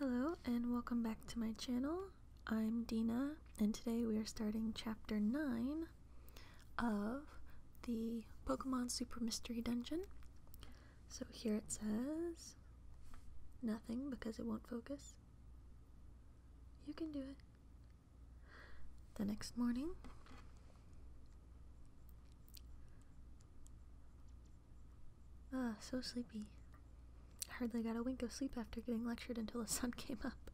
Hello and welcome back to my channel. I'm Dina and today we are starting chapter 9 of the Pokemon Super Mystery Dungeon. So here it says nothing because it won't focus. You can do it. The next morning. Ah, so sleepy. hardly got a wink of sleep after getting lectured until the sun came up.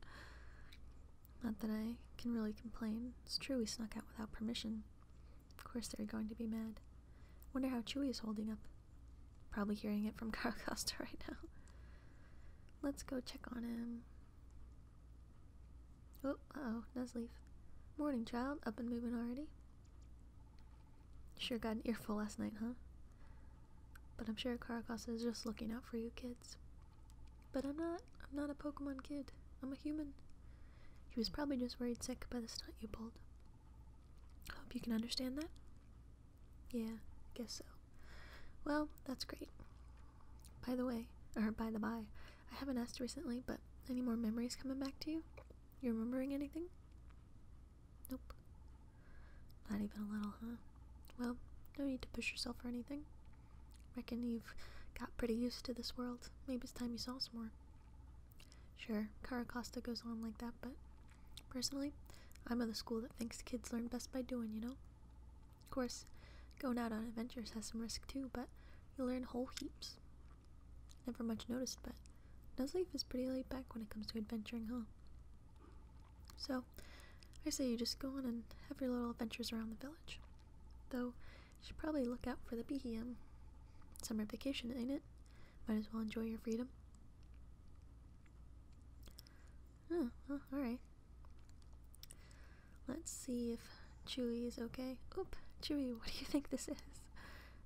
Not that I can really complain. It's true we snuck out without permission. Of course they're going to be mad. Wonder how Chewy is holding up. Probably hearing it from Carl Costa right now. Let's go check on him. Oh, uh oh, does Morning, child. Up and moving already? Sure got an earful last night, huh? But I'm sure Karakasa is just looking out for you kids. But I'm not. I'm not a Pokemon kid. I'm a human. He was probably just worried sick by the stunt you pulled. Hope you can understand that? Yeah, guess so. Well, that's great. By the way, or by the by, I haven't asked recently, but any more memories coming back to you? You remembering anything? Nope. Not even a little, huh? Well, no need to push yourself or anything. Reckon you've got pretty used to this world. Maybe it's time you saw some more. Sure, Caracosta goes on like that, but personally, I'm of the school that thinks kids learn best by doing, you know? Of course, going out on adventures has some risk too, but you learn whole heaps. Never much noticed, but Nuzleaf is pretty laid back when it comes to adventuring, huh? So, I say you just go on and have your little adventures around the village. Though, you should probably look out for the BEM. Summer vacation, ain't it? Might as well enjoy your freedom. Oh, alright. Let's see if Chewy is okay. Oop, Chewy, what do you think this is?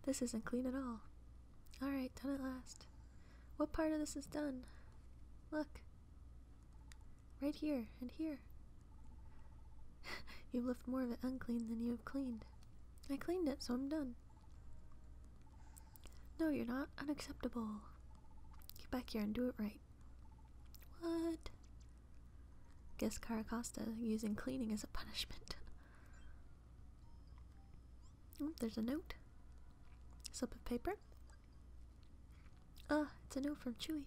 This isn't clean at all. Alright, done at last. What part of this is done? Look. Right here and here. You've left more of it unclean than you have cleaned. I cleaned it, so I'm done. No, you're not. Unacceptable. Get back here and do it right. What? Guess Caracosta using cleaning as a punishment. Oh, there's a note. Slip of paper. Ah, oh, it's a note from Chewy.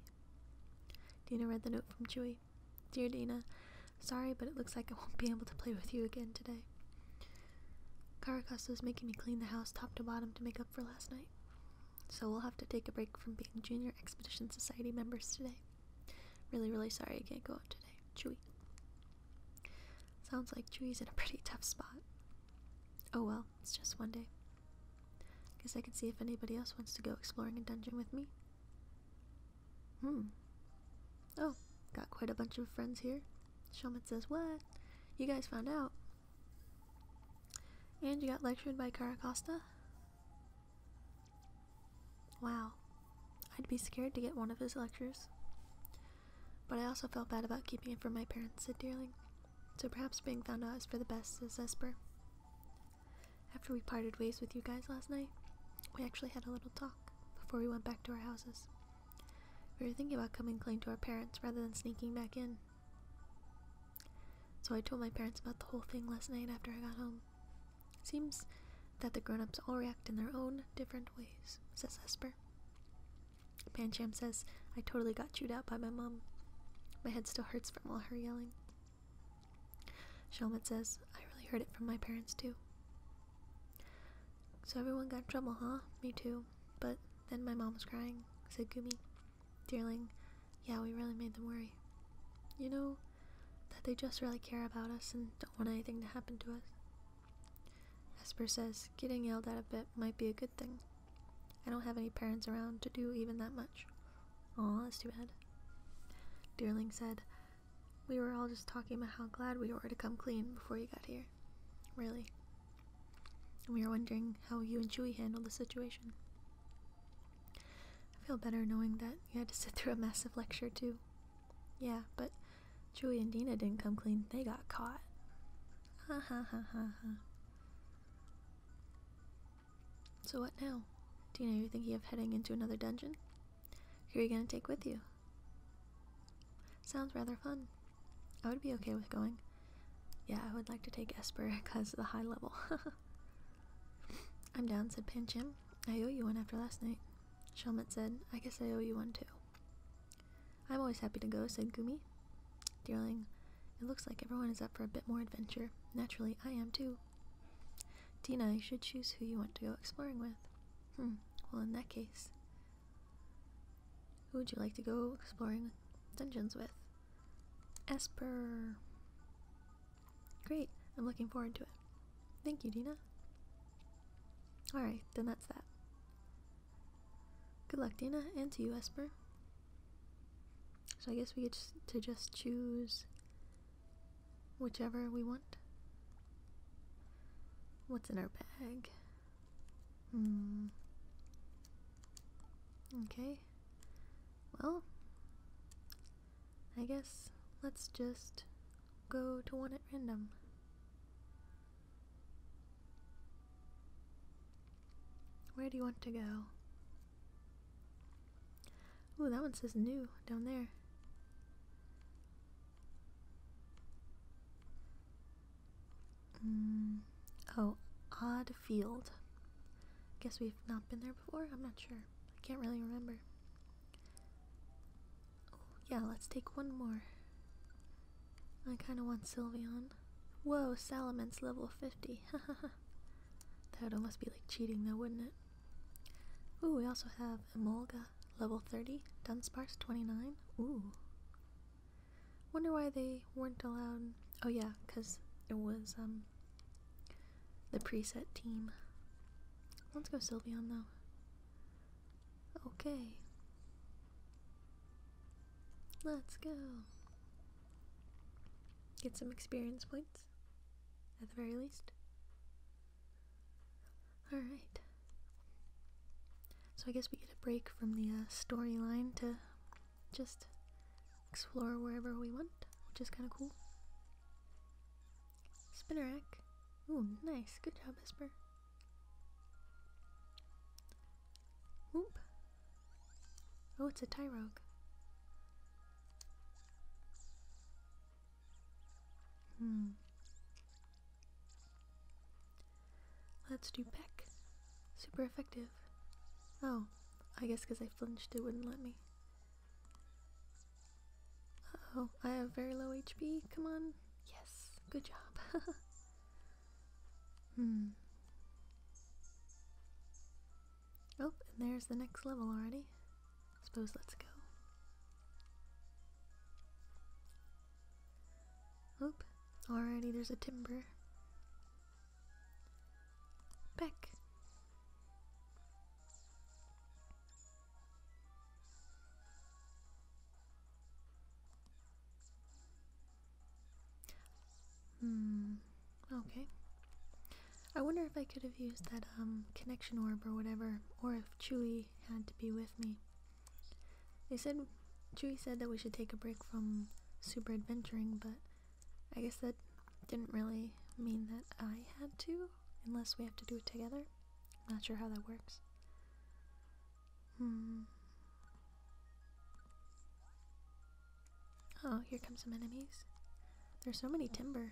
Dina read the note from Chewy. Dear Dina, sorry, but it looks like I won't be able to play with you again today. Caracasso is making me clean the house top to bottom to make up for last night. So we'll have to take a break from being Junior Expedition Society members today. Really, really sorry I can't go out today. Chewy. Sounds like Chewie's in a pretty tough spot. Oh well, it's just one day. Guess I can see if anybody else wants to go exploring a dungeon with me. Hmm. Oh, got quite a bunch of friends here. Shelmet says, What? You guys found out. And you got lectured by Caracosta? Wow, I'd be scared to get one of his lectures. But I also felt bad about keeping it from my parents, said Dearling, so perhaps being found out is for the best, says Esper. After we parted ways with you guys last night, we actually had a little talk before we went back to our houses. We were thinking about coming clean to our parents rather than sneaking back in. So I told my parents about the whole thing last night after I got home, Seems that the grown ups all react in their own different ways, says Esper. Pancham says, I totally got chewed out by my mom. My head still hurts from all her yelling. Shelmet says, I really heard it from my parents too. So everyone got in trouble, huh? Me too. But then my mom was crying, said Gumi. Dearling, yeah, we really made them worry. You know, that they just really care about us and don't want anything to happen to us. Esper says, getting yelled at a bit might be a good thing. I don't have any parents around to do even that much. Aw, that's too bad. Dearling said, We were all just talking about how glad we were to come clean before you got here. Really. And we were wondering how you and Chewie handled the situation. I feel better knowing that you had to sit through a massive lecture, too. Yeah, but Chewie and Dina didn't come clean. They got caught. Ha ha ha ha ha. So what now? Dina, you are thinking of heading into another dungeon? Who are you gonna take with you? Sounds rather fun. I would be okay with going. Yeah, I would like to take Esper because of the high level. I'm down, said Panchim. I owe you one after last night. Shelmet said, I guess I owe you one too. I'm always happy to go, said Gumi. Darling, it looks like everyone is up for a bit more adventure. Naturally, I am too. Tina, you should choose who you want to go exploring with. Hmm, well, in that case, who would you like to go exploring dungeons with? Esper. Great, I'm looking forward to it. Thank you, Dina. Alright, then that's that. Good luck, Dana, and to you, Esper. So I guess we get to just choose whichever we want. What's in our bag? Hmm. Okay. Well, I guess let's just go to one at random. Where do you want to go? Oh, that one says new down there. Mm, oh, Odd Field. Guess we've not been there before? I'm not sure. I can't really remember. Yeah, let's take one more. I kind of want Sylveon. Whoa, Salamence level 50. that would almost be like cheating though, wouldn't it? Ooh, we also have Emolga level 30, Dunsparce 29. Ooh. Wonder why they weren't allowed. Oh yeah, because it was um the preset team. Let's go Sylveon though. Okay. Let's go. Get some experience points, at the very least. Alright. So I guess we get a break from the uh, storyline to just explore wherever we want, which is kind of cool. Spinnerack. Ooh, nice. Good job, Esper. Oop. Oh, it's a Tyrogue. Hmm. Let's do Peck. Super effective. Oh, I guess because I flinched it wouldn't let me oh, I have very low HP. Come on. Yes, good job. hmm. Oh, and there's the next level already. Suppose let's go. Oop, already there's a timber. Back. Hmm. Okay. I wonder if I could have used that um, connection orb or whatever, or if Chewie had to be with me. They said Chewie said that we should take a break from super adventuring, but I guess that didn't really mean that I had to, unless we have to do it together. Not sure how that works. Hmm. Oh, here come some enemies. There's so many timber.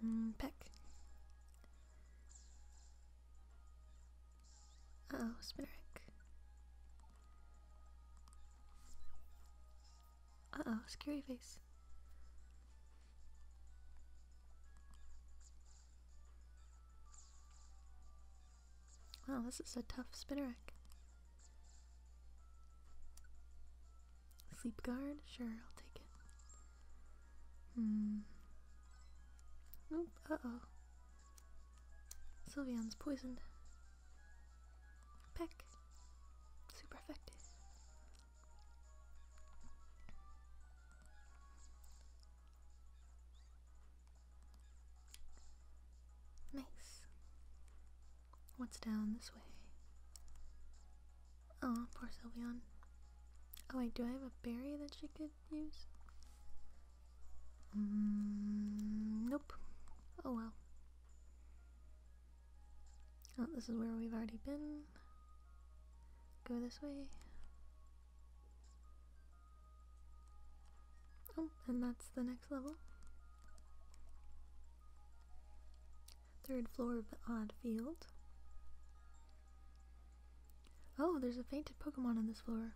Hmm, peck. oh, Spinnerick. Uh oh, scary face. Wow, this is a tough spinnerack. Sleep guard? Sure, I'll take it. Hmm. Nope, uh oh. Sylveon's poisoned. Peck. Super Nice. What's down this way? Oh, poor Sylvian. Oh wait, do I have a berry that she could use? Mm, nope. Oh well. Oh, this is where we've already been. Go this way. Oh, and that's the next level. Third floor of the odd field. Oh, there's a fainted Pokemon on this floor.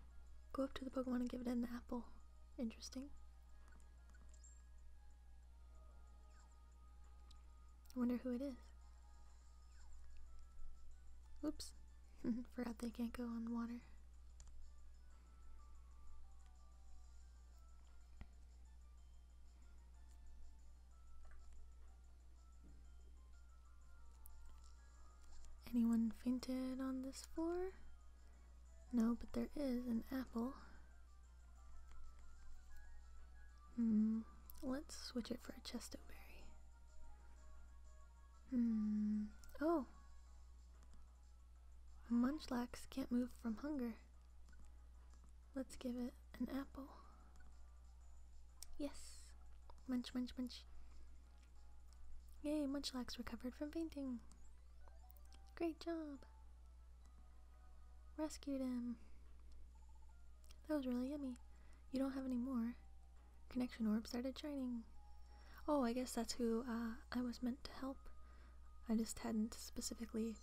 Go up to the Pokemon and give it an apple. Interesting wonder who it is. Oops. Forgot they can't go on water. Anyone fainted on this floor? No, but there is an apple. Hmm, let's switch it for a chesto berry. Hmm, oh! Munchlax can't move from hunger. Let's give it an apple. Yes! Munch, munch, munch. Yay, Munchlax recovered from fainting. Great job! Rescued him. That was really yummy. You don't have any more. Connection orb started shining. Oh, I guess that's who uh, I was meant to help. I just hadn't specifically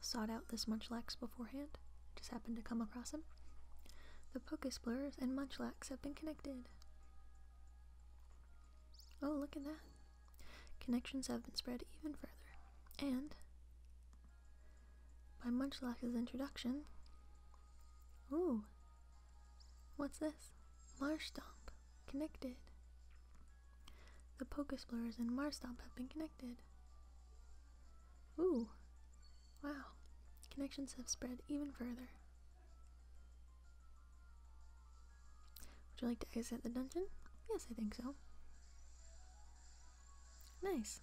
sought out this Munchlax beforehand. Just happened to come across him. The Pokesplurers and Munchlax have been connected. Oh, look at that. Connections have been spread even further, and by Munchlax's introduction, ooh, what's this? Marstomp connected. The Poke Explorers and Marstomp have been connected. Ooh, wow, connections have spread even further. Would you like to exit the dungeon? Yes, I think so. Nice.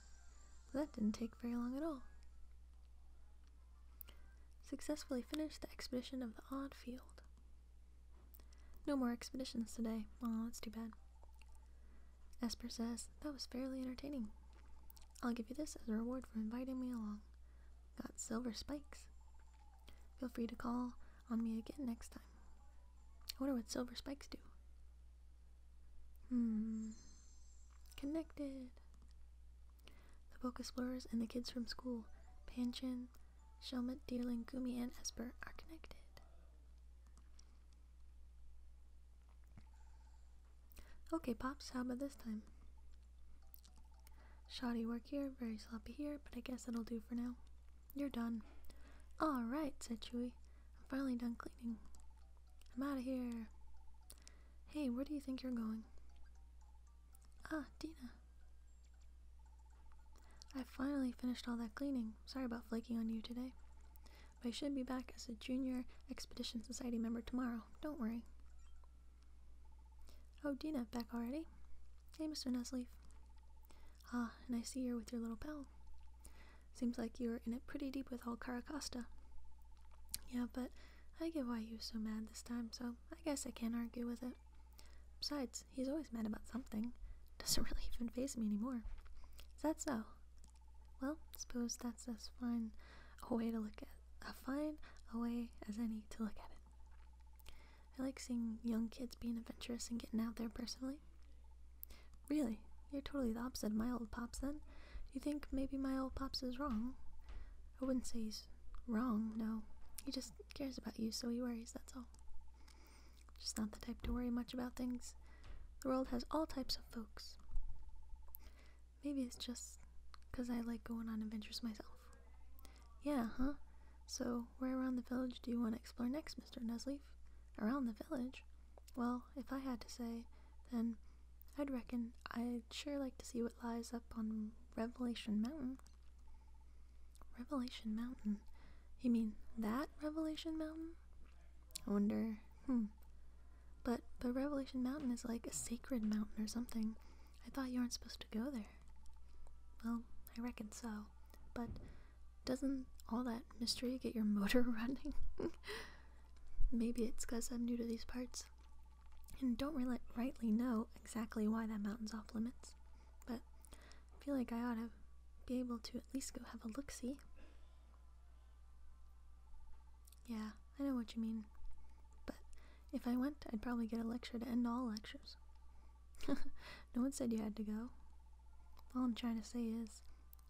That didn't take very long at all. Successfully finished the expedition of the odd field. No more expeditions today. Oh, that's too bad. Esper says, that was fairly entertaining. I'll give you this as a reward for inviting me along. Got silver spikes. Feel free to call on me again next time. I wonder what silver spikes do. Hmm. Connected. The book explorers and the kids from school, Panchin, Shelmet, Deerling, Gumi, and Esper, are connected. Okay, Pops, how about this time? Shoddy work here, very sloppy here, but I guess it will do for now. You're done. Alright, said Chewie. I'm finally done cleaning. I'm out of here. Hey, where do you think you're going? Ah, Dina. I finally finished all that cleaning. Sorry about flaking on you today. But I should be back as a junior Expedition Society member tomorrow. Don't worry. Oh, Dina, back already? Hey, Mr. Nestleaf. Ah, and I see you're with your little pal. Seems like you are in it pretty deep with old Caracosta. Yeah, but I get why you are so mad this time, so I guess I can't argue with it. Besides, he's always mad about something. Doesn't really even phase me anymore. Is that so? Well, suppose that's as fine a way to look at a fine a way as any to look at it. I like seeing young kids being adventurous and getting out there personally. Really? You're totally the opposite of my old pops then? You think maybe my old pops is wrong? I wouldn't say he's wrong, no. He just cares about you, so he worries, that's all. Just not the type to worry much about things. The world has all types of folks. Maybe it's just because I like going on adventures myself. Yeah, huh? So, where around the village do you want to explore next, Mr. Nesleef? Around the village? Well, if I had to say, then I'd reckon I'd sure like to see what lies up on Revelation Mountain. Revelation Mountain? You mean that Revelation Mountain? I wonder. Hmm. But but Revelation Mountain is like a sacred mountain or something. I thought you were not supposed to go there. Well, I reckon so. But doesn't all that mystery get your motor running? Maybe it's because I'm new to these parts and don't rightly know exactly why that mountain's off limits. But I feel like I ought to be able to at least go have a look see. Yeah, I know what you mean. But if I went, I'd probably get a lecture to end all lectures. no one said you had to go. All I'm trying to say is,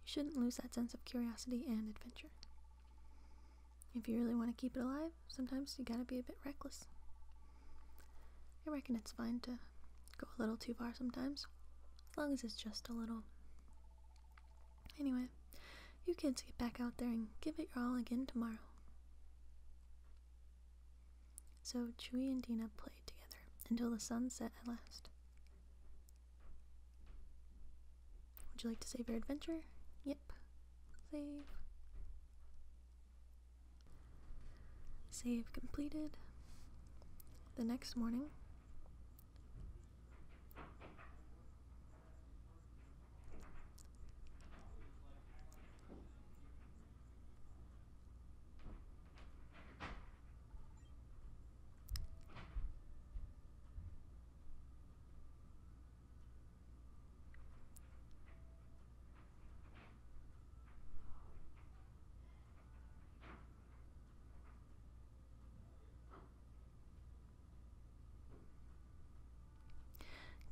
you shouldn't lose that sense of curiosity and adventure. If you really want to keep it alive, sometimes you gotta be a bit reckless. I reckon it's fine to go a little too far sometimes, as long as it's just a little. Anyway, you kids get back out there and give it your all again tomorrow. So Chewie and Dina played together until the sun set at last. Would you like to save your adventure? Yep. Save. Save completed. The next morning,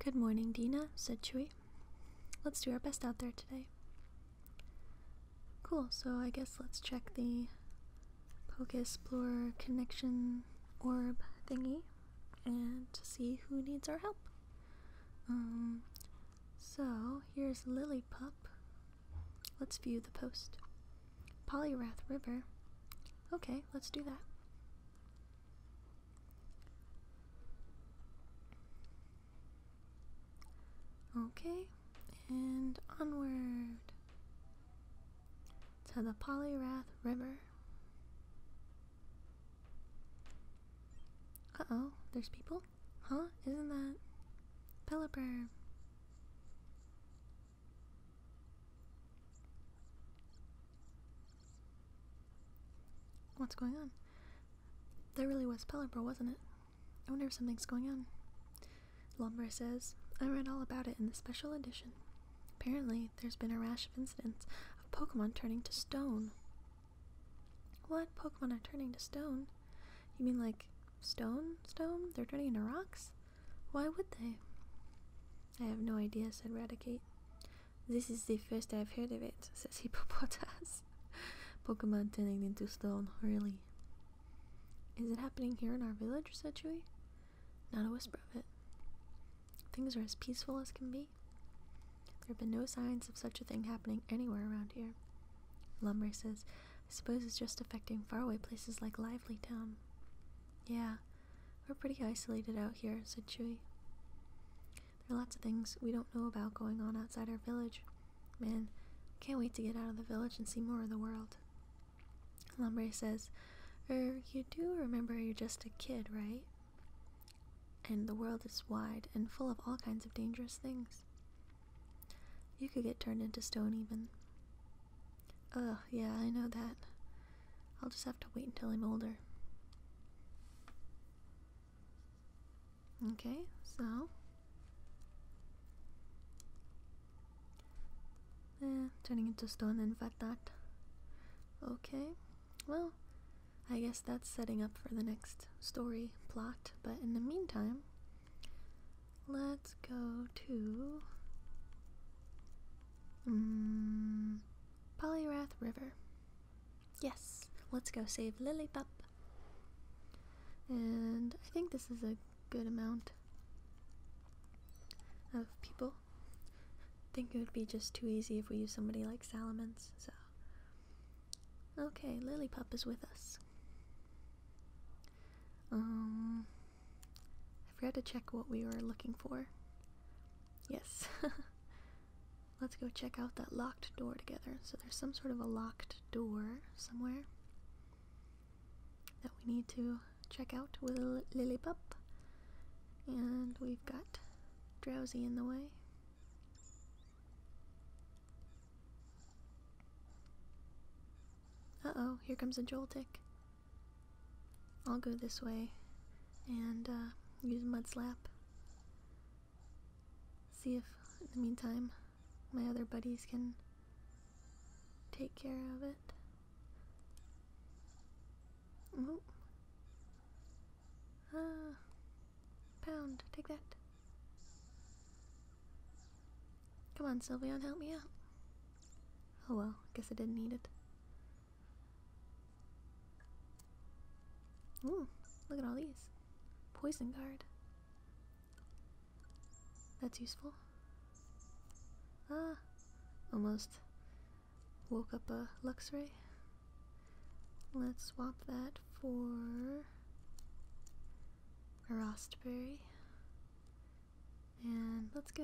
Good morning, Dina, said Chewy. Let's do our best out there today. Cool, so I guess let's check the Pocus Explorer connection orb thingy and see who needs our help. Um, so here's Lilypup. Let's view the post. Polyrath River. Okay, let's do that. Okay, and onward to the Polyrath River. Uh oh, there's people? Huh? Isn't that Pelipper? What's going on? That really was Pelipper, wasn't it? I wonder if something's going on. Lumber says, I read all about it in the special edition. Apparently, there's been a rash of incidents of Pokemon turning to stone. What? Pokemon are turning to stone? You mean like stone? Stone? They're turning into rocks? Why would they? I have no idea, said Radicate. This is the first I've heard of it, says Hippopotamus. Pokemon turning into stone, really. Is it happening here in our village, said Chewy? Not a whisper of it. Things are as peaceful as can be. There have been no signs of such a thing happening anywhere around here. Lumber says, I suppose it's just affecting faraway places like Lively Town. Yeah, we're pretty isolated out here, said Chewy. There are lots of things we don't know about going on outside our village. Man, can't wait to get out of the village and see more of the world. Lombre says, Er, you do remember you're just a kid, right? And the world is wide and full of all kinds of dangerous things. You could get turned into stone, even. Oh yeah, I know that. I'll just have to wait until I'm older. Okay, so. Eh, turning into stone and that. Okay, well, I guess that's setting up for the next story plot, but in the meantime, let's go to. Mm, Polyrath River. Yes, let's go save Lilypup, And I think this is a good amount of people. I think it would be just too easy if we use somebody like Salamence, so. Okay, Lilypup is with us. Um, I forgot to check what we were looking for. Yes. Let's go check out that locked door together. So there's some sort of a locked door somewhere that we need to check out with a Lillipup. And we've got Drowsy in the way. Uh-oh, here comes a tick. I'll go this way and uh, use Mud Slap see if, in the meantime, my other buddies can take care of it. Oh. Ah. Pound, take that. Come on, Sylveon, help me out. Oh well, guess I didn't need it. Ooh, look at all these. Poison guard. That's useful. Ah, almost woke up a Luxray. Let's swap that for a Rostberry. And let's go.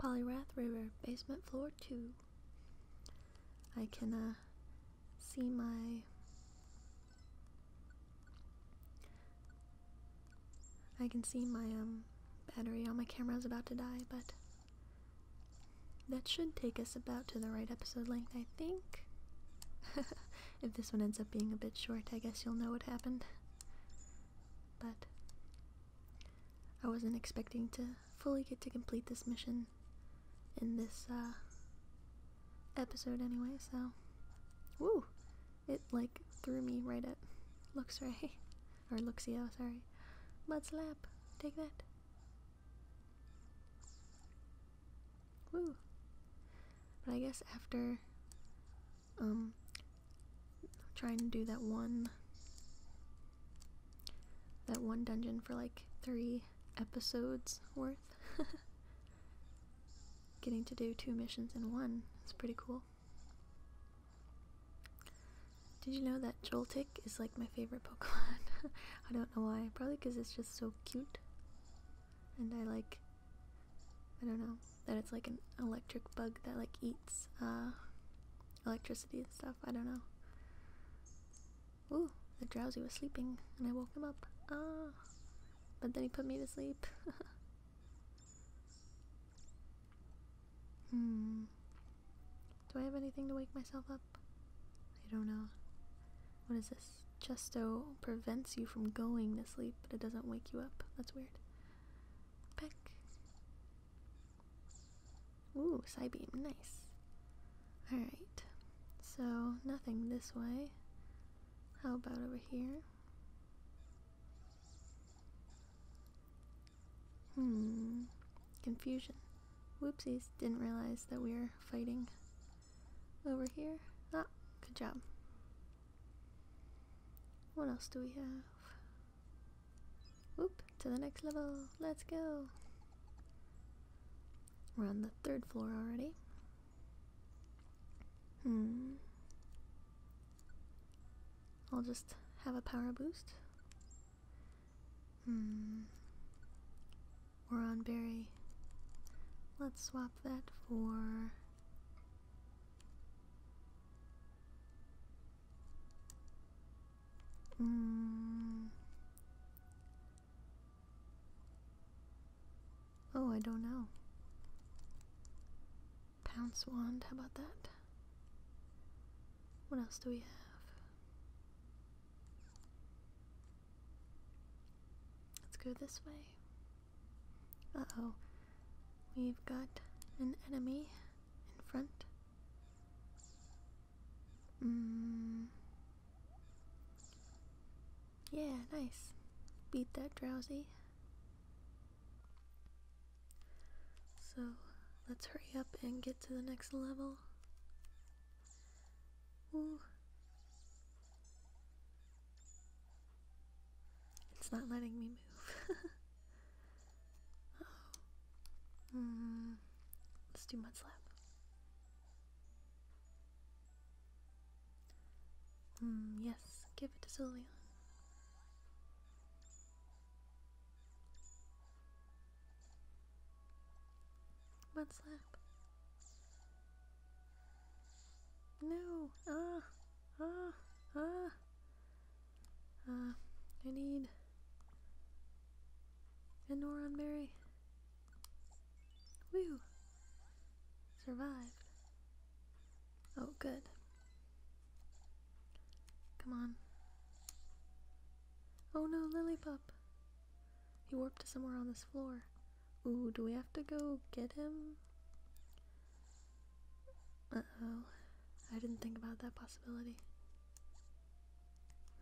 Polyrath River, basement floor 2. I can uh, see my. I can see my um, battery on my camera is about to die, but that should take us about to the right episode length, I think. if this one ends up being a bit short, I guess you'll know what happened. But I wasn't expecting to fully get to complete this mission in this uh, episode anyway, so. Woo! It like threw me right at Luxray. Or Luxio, sorry. Mud slap. Take that. Woo. But I guess after um trying to do that one that one dungeon for like three episodes worth. Getting to do two missions in one is pretty cool. Did you know that Joltik is like my favorite Pokemon? I don't know why. Probably because it's just so cute. And I like. I don't know. That it's like an electric bug that like eats uh, electricity and stuff. I don't know. Ooh, the drowsy was sleeping, and I woke him up. Ah, but then he put me to sleep. hmm. Do I have anything to wake myself up? I don't know. What is this? Justo prevents you from going to sleep, but it doesn't wake you up. That's weird. Peck. Ooh, side beam, nice. Alright, so nothing this way. How about over here? Hmm, confusion. Whoopsies, didn't realize that we were fighting over here. Ah, good job. What else do we have? Whoop, to the next level. Let's go. We're on the third floor already. Hmm. I'll just have a power boost. Hmm. We're on berry. Let's swap that for. Mm. Oh, I don't know. Pounce wand, how about that? What else do we have? Let's go this way. Uh oh. We've got an enemy in front. Mm. Yeah, nice. Beat that drowsy. So let's hurry up and get to the next level. It's not letting me move. Oh. Mm. Let's do mud slap. Hmm, yes, give it to Sylvia. Butt slap. No! Ah! Ah! Ah! Uh, I need and Noron Berry. Woo! Survived. Oh, good. Come on. Oh no, Lily pup. He warped to somewhere on this floor. Ooh, do we have to go get him? Uh-oh. I didn't think about that possibility.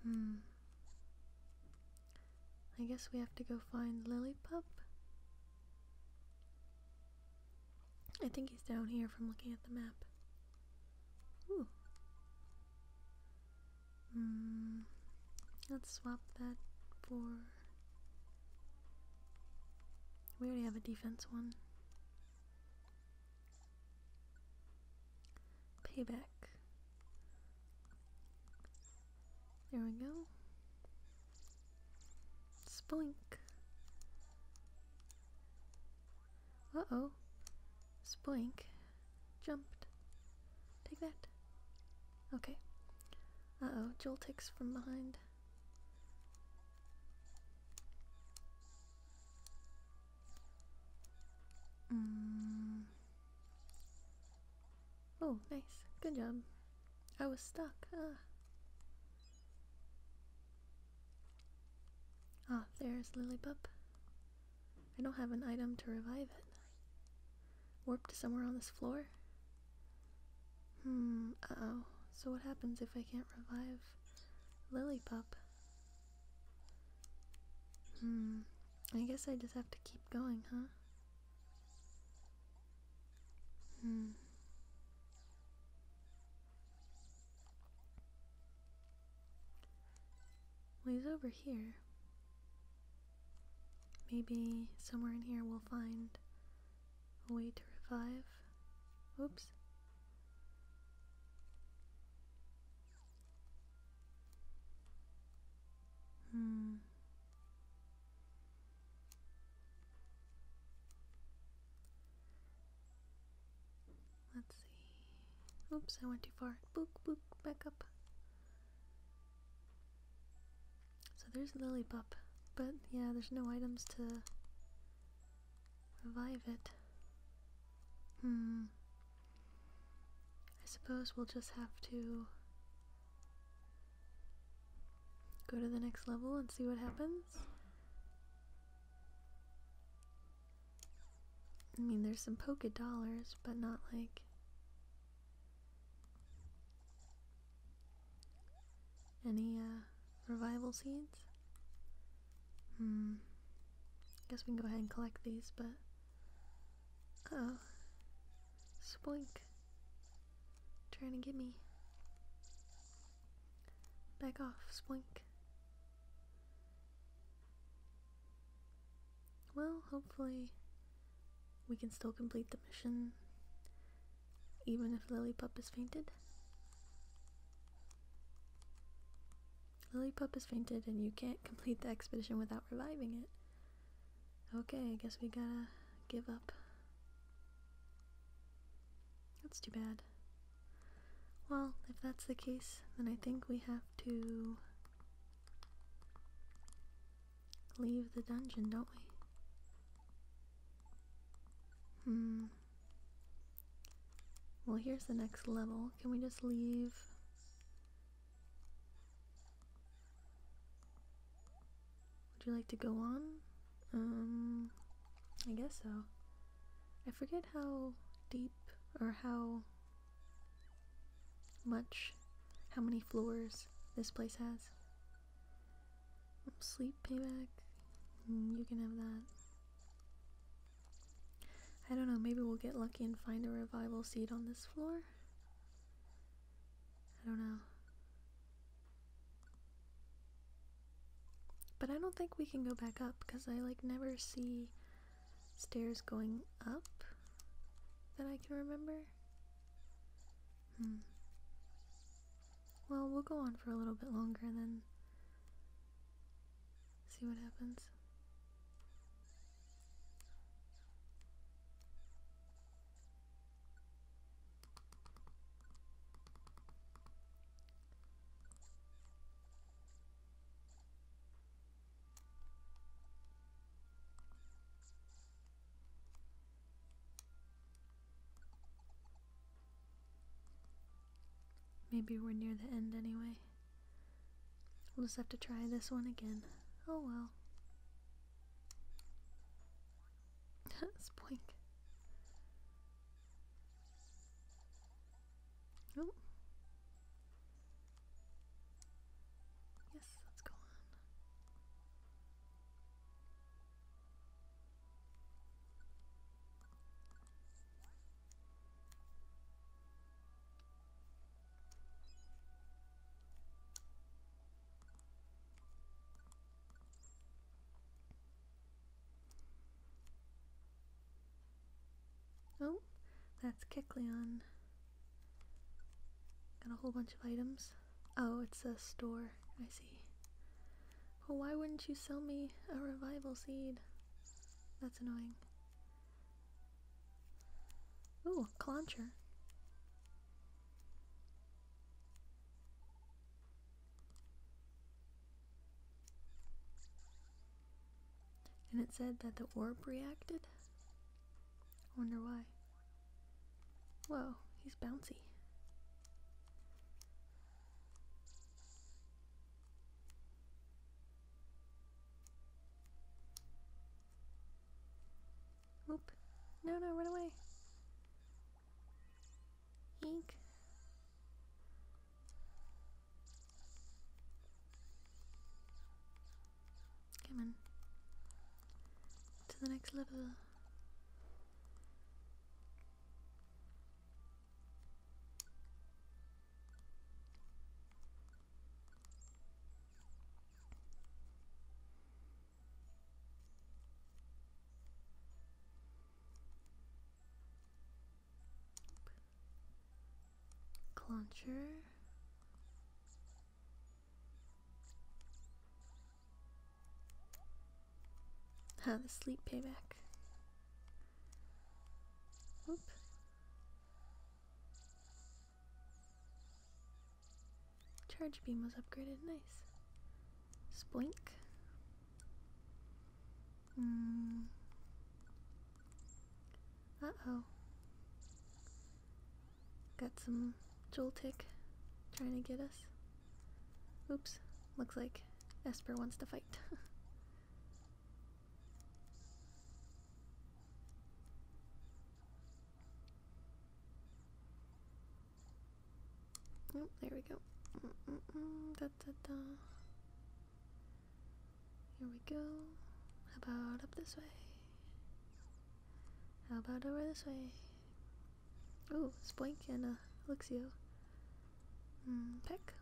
Hmm. I guess we have to go find Lillipup. I think he's down here from looking at the map. Ooh. Hmm. let's swap that for... We already have a defense one. Payback. There we go. Splink. Uh oh. Splink jumped. Take that. Okay. Uh oh, Joel takes from behind. Mm. Oh, nice. Good job. I was stuck. Ah. Ah, there's Lilypup. I don't have an item to revive it. Warped somewhere on this floor? Hmm, uh-oh. So what happens if I can't revive Lilypup? Hmm, I guess I just have to keep going, huh? Hmm. Well, he's over here. Maybe somewhere in here we'll find a way to revive. Oops. Hmm. Let's see. Oops, I went too far. Book, book, back up. So there's Lillipup, but yeah, there's no items to revive it. Hmm. I suppose we'll just have to go to the next level and see what happens. I mean, there's some polka dollars, but not like. Any uh, revival seeds? Hmm. Guess we can go ahead and collect these, but. oh. Spoink. Trying to get me. Back off, Spoink. Well, hopefully we can still complete the mission even if Lily Pup is fainted. Lily pup has fainted and you can't complete the expedition without reviving it. Okay, I guess we gotta give up. That's too bad. Well, if that's the case, then I think we have to leave the dungeon, don't we? Hmm. Well, here's the next level. Can we just leave would you like to go on? Um, I guess so. I forget how deep or how much, how many floors this place has. Sleep payback, mm, you can have that. I don't know, maybe we'll get lucky and find a revival seed on this floor. I don't know. But I don't think we can go back up because I like never see stairs going up that I can remember. Hmm. Well, we'll go on for a little bit longer and then See what happens. Maybe we're near the end anyway. We'll just have to try this one again. Oh well. Spoink. Oh. Yes, let's go on. Oh, that's Kecleon. Got a whole bunch of items. Oh, it's a store. I see. Well, why wouldn't you sell me a revival seed? That's annoying. Ooh, a clauncher. And it said that the orb reacted? Wonder why. Whoa, he's bouncy. Oop. No, no, run away. Eek. Come on. To the next level. Cluncher. Huh, the sleep payback. Oop. Charge beam was upgraded, nice. Splink. Mm. Uh oh. Got some Joltik trying to get us. Oops, looks like Esper wants to fight. Oh, there we go. Here we go. How about up this way? How about over this way? Oh, Splank and uh, Elixio. Mm, peck.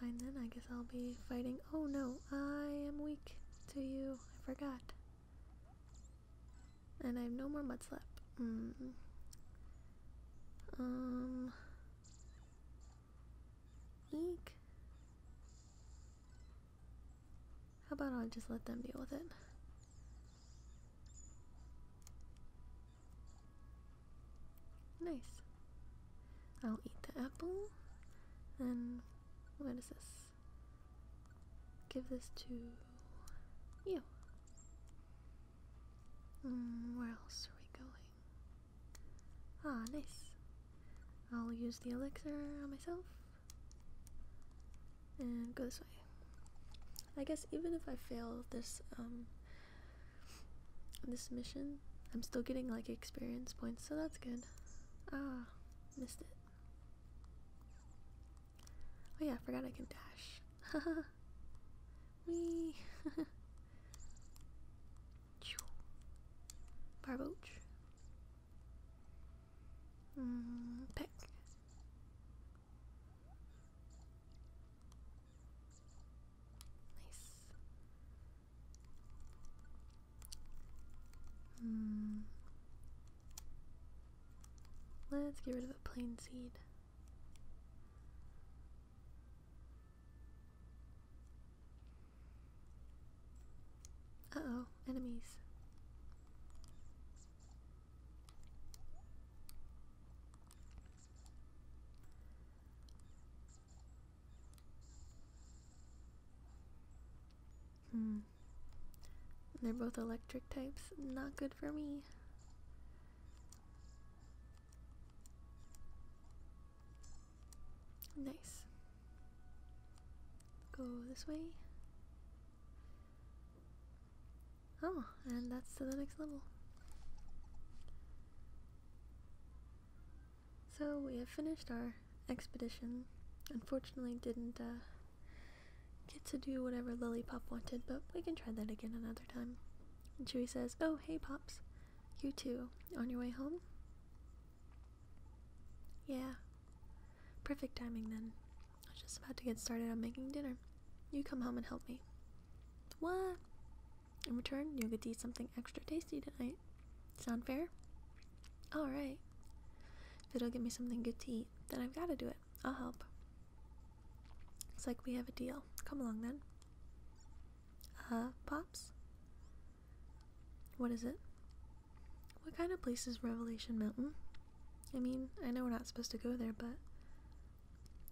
Fine then, I guess I'll be fighting. Oh no, I am weak to you. I forgot. And I have no more mudslap. Mm. Um. Eek. How about I just let them deal with it? Nice. I'll eat the apple. And what is this? Give this to you. Mm, where else are we going? Ah, nice. I'll use the elixir on myself and go this way. I guess even if I fail this um this mission, I'm still getting like experience points, so that's good. Ah, missed it. Oh yeah, I forgot I can dash. Wee. Barbouch. Mm, pick. Nice. Mm. Let's get rid of the plain seed. Uh oh, enemies. Hmm. They're both electric types. Not good for me. Nice. Go this way. Oh, and that's to the next level. So we have finished our expedition. Unfortunately, didn't uh, get to do whatever Lollipop wanted, but we can try that again another time. And Chewie says, "Oh, hey, pops, you too. On your way home? Yeah. Perfect timing then. I was just about to get started on making dinner. You come home and help me. What? In return, you'll get to eat something extra tasty tonight. Sound fair? Alright. If it'll give me something good to eat, then I've gotta do it. I'll help. It's like we have a deal. Come along then. Uh, Pops? What is it? What kind of place is Revelation Mountain? I mean, I know we're not supposed to go there, but.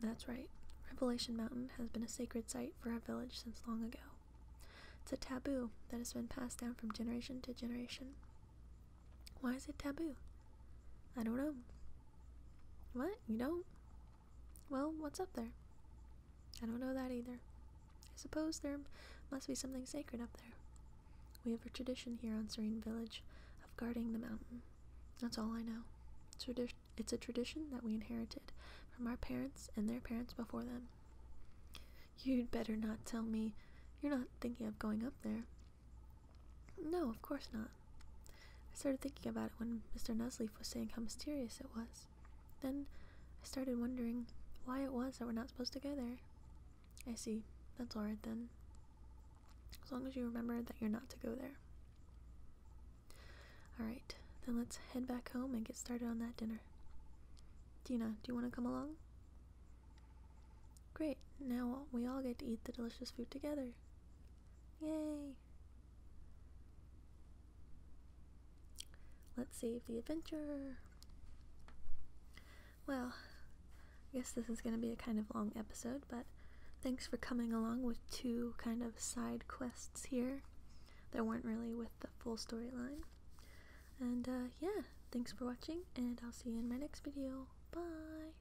That's right. Revelation Mountain has been a sacred site for our village since long ago. It's a taboo that has been passed down from generation to generation. Why is it taboo? I don't know. What? You don't? Well, what's up there? I don't know that either. I suppose there must be something sacred up there. We have a tradition here on Serene Village of guarding the mountain. That's all I know. it's a tradition that we inherited from our parents and their parents before them. You'd better not tell me you're not thinking of going up there. No, of course not. I started thinking about it when Mr. Nuzleaf was saying how mysterious it was. Then I started wondering why it was that we're not supposed to go there. I see. That's alright then as long as you remember that you're not to go there. Alright, then let's head back home and get started on that dinner. Dina, do you want to come along? Great, now we all get to eat the delicious food together. Yay! Let's save the adventure. Well, I guess this is going to be a kind of long episode, but thanks for coming along with two kind of side quests here that weren't really with the full storyline. And uh, yeah, thanks for watching, and I'll see you in my next video. Bye!